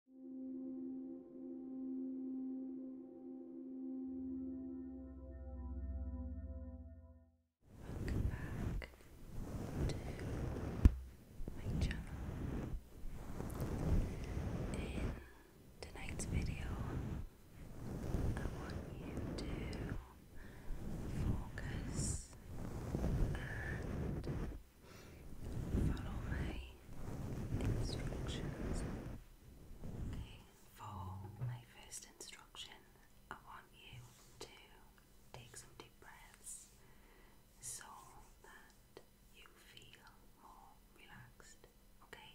Welcome back to my channel. In tonight's video, I want you to focus and Follow my instructions. Okay, for my first instruction, I want you to take some deep breaths so that you feel more relaxed. Okay.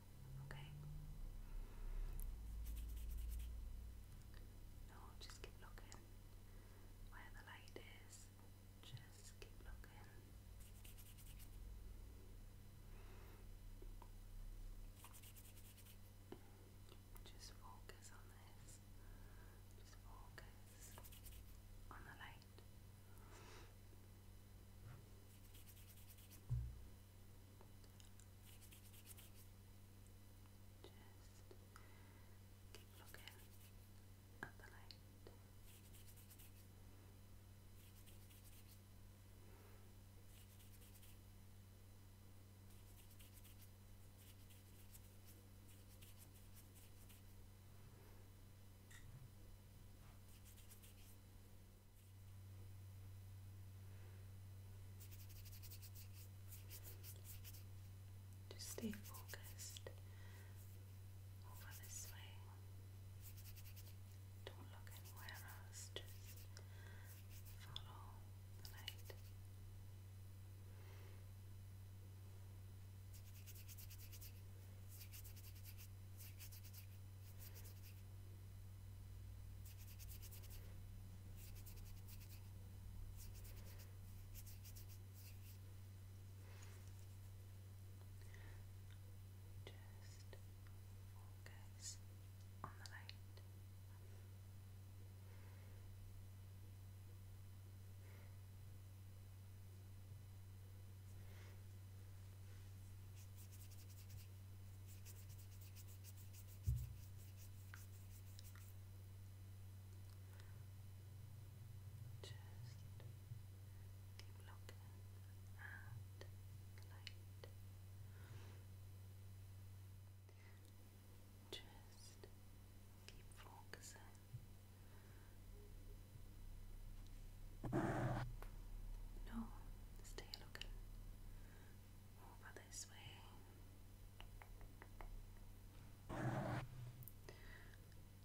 Okay. No, just keep looking where the light is. Just keep looking. Just focus on this. Just focus on the light. Just keep looking at the light. Just stay focused over this way. Don't look anywhere else, just follow the light. Just focus on the light keep looking at light. Just keep focusing no, let's over this way.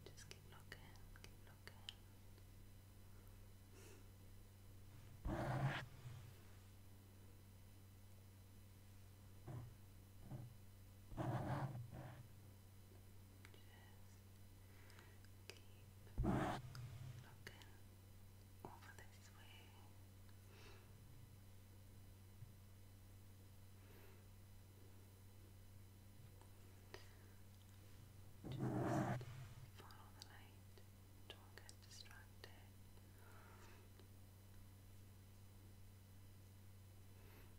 Just keep looking, keep looking keep looking over this way. Just follow the light, don't get distracted.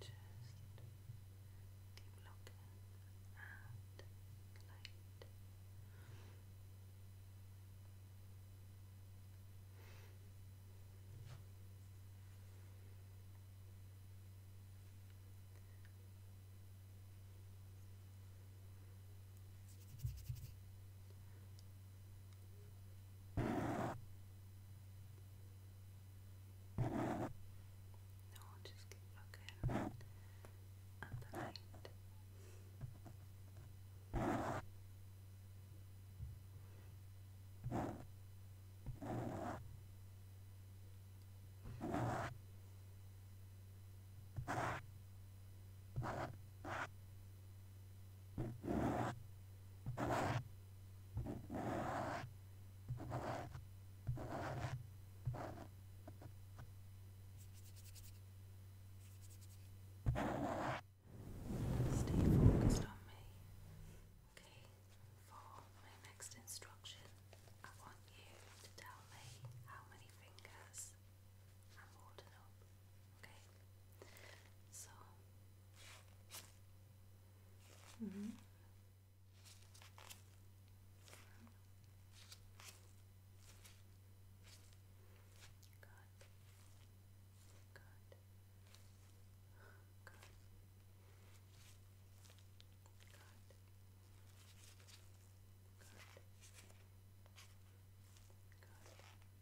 keep looking at light. No, just keep looking at the light. Good. Stay focused on me. Okay, for my next instruction, I want you to tell me how many fingers I'm holding up. Okay. So. Mm -hmm. Good. Good. Good. Good. Good.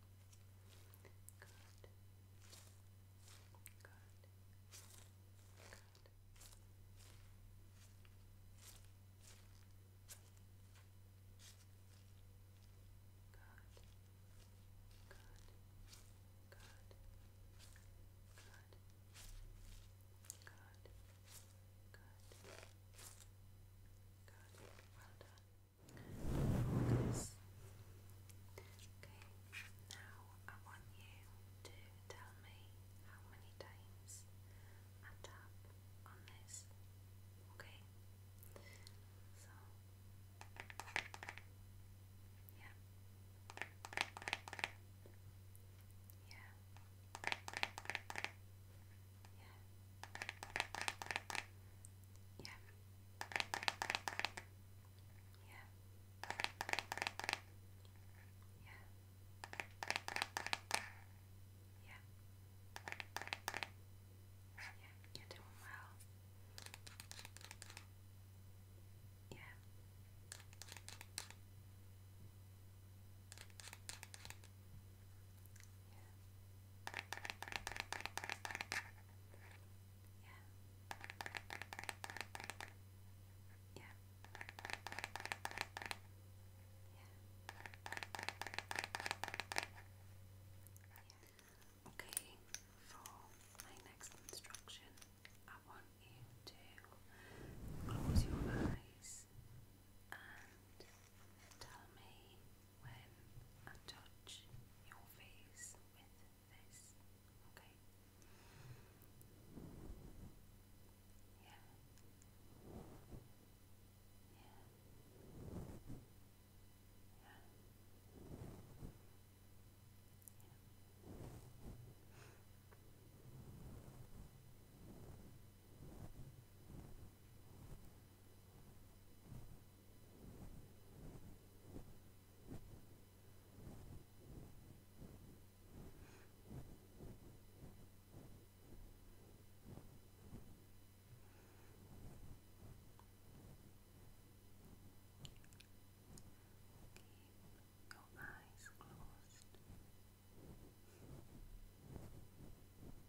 Good. Good. Good. Good. Good. Good. Good. Good. Well done. Okay, now I want you to tell me how many times I tap on this. Okay? So, yeah. Yeah. Yeah. Yeah. Yeah. Yeah. Yeah. Yeah, you're doing well. Yeah. Yeah. Yeah. Yeah. Yeah. Okay, for my next instruction, I want you to close your eyes and tell me when I touch your face with this, okay? Yeah. Yeah. Yeah. Yeah. Keep your eyes closed.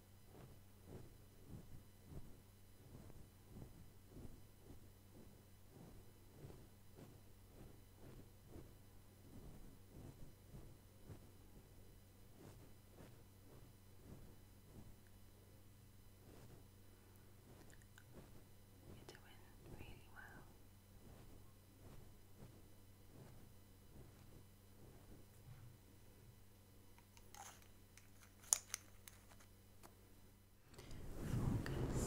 You're doing really well. Focus.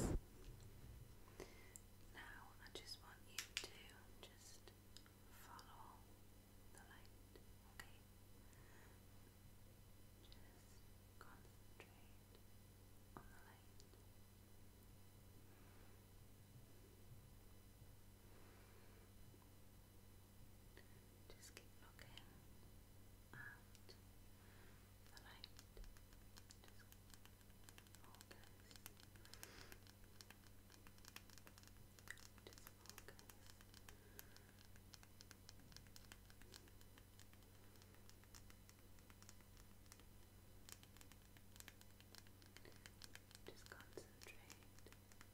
Now I just want you to just follow the light, okay? Just concentrate on the light. Just keep looking at the light. Just focus. Just concentrate.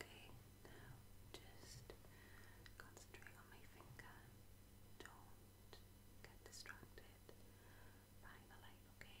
Okay, now just concentrate on my finger. Don't get distracted by the light, okay?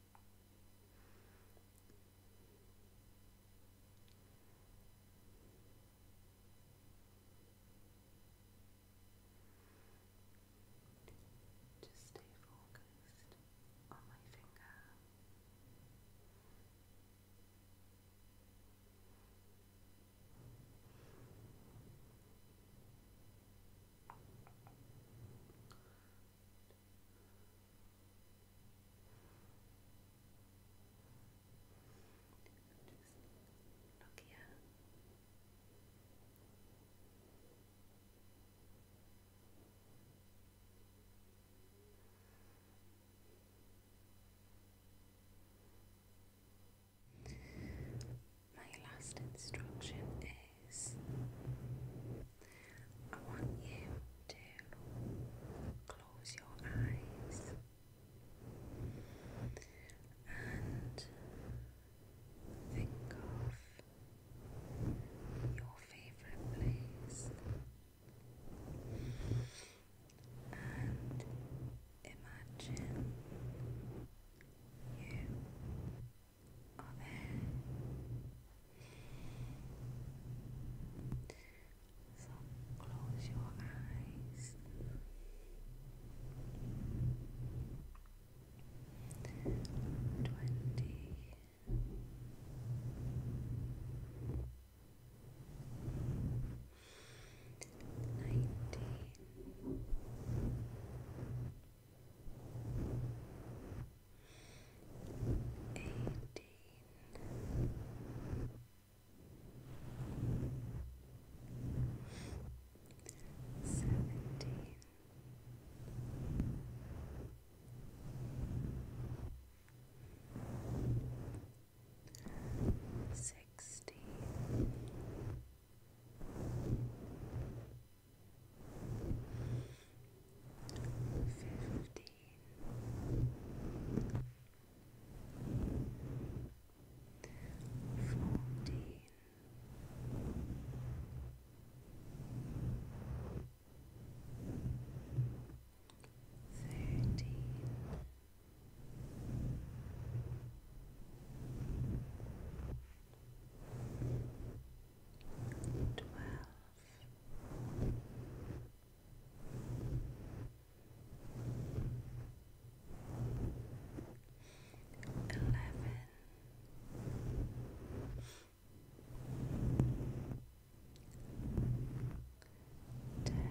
Just stay focused on my finger. Nokia my last instruction is I want you to close your eyes and think of your favourite place and imagine you there. So close your eyes. Twenty eighteen, seventeen, sixteen. 15 Thirteen, twelve, twelve. Eleven Ten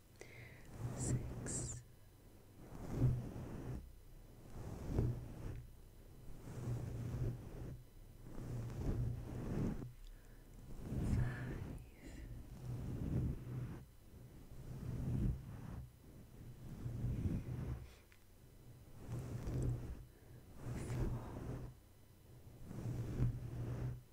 six, five. Four,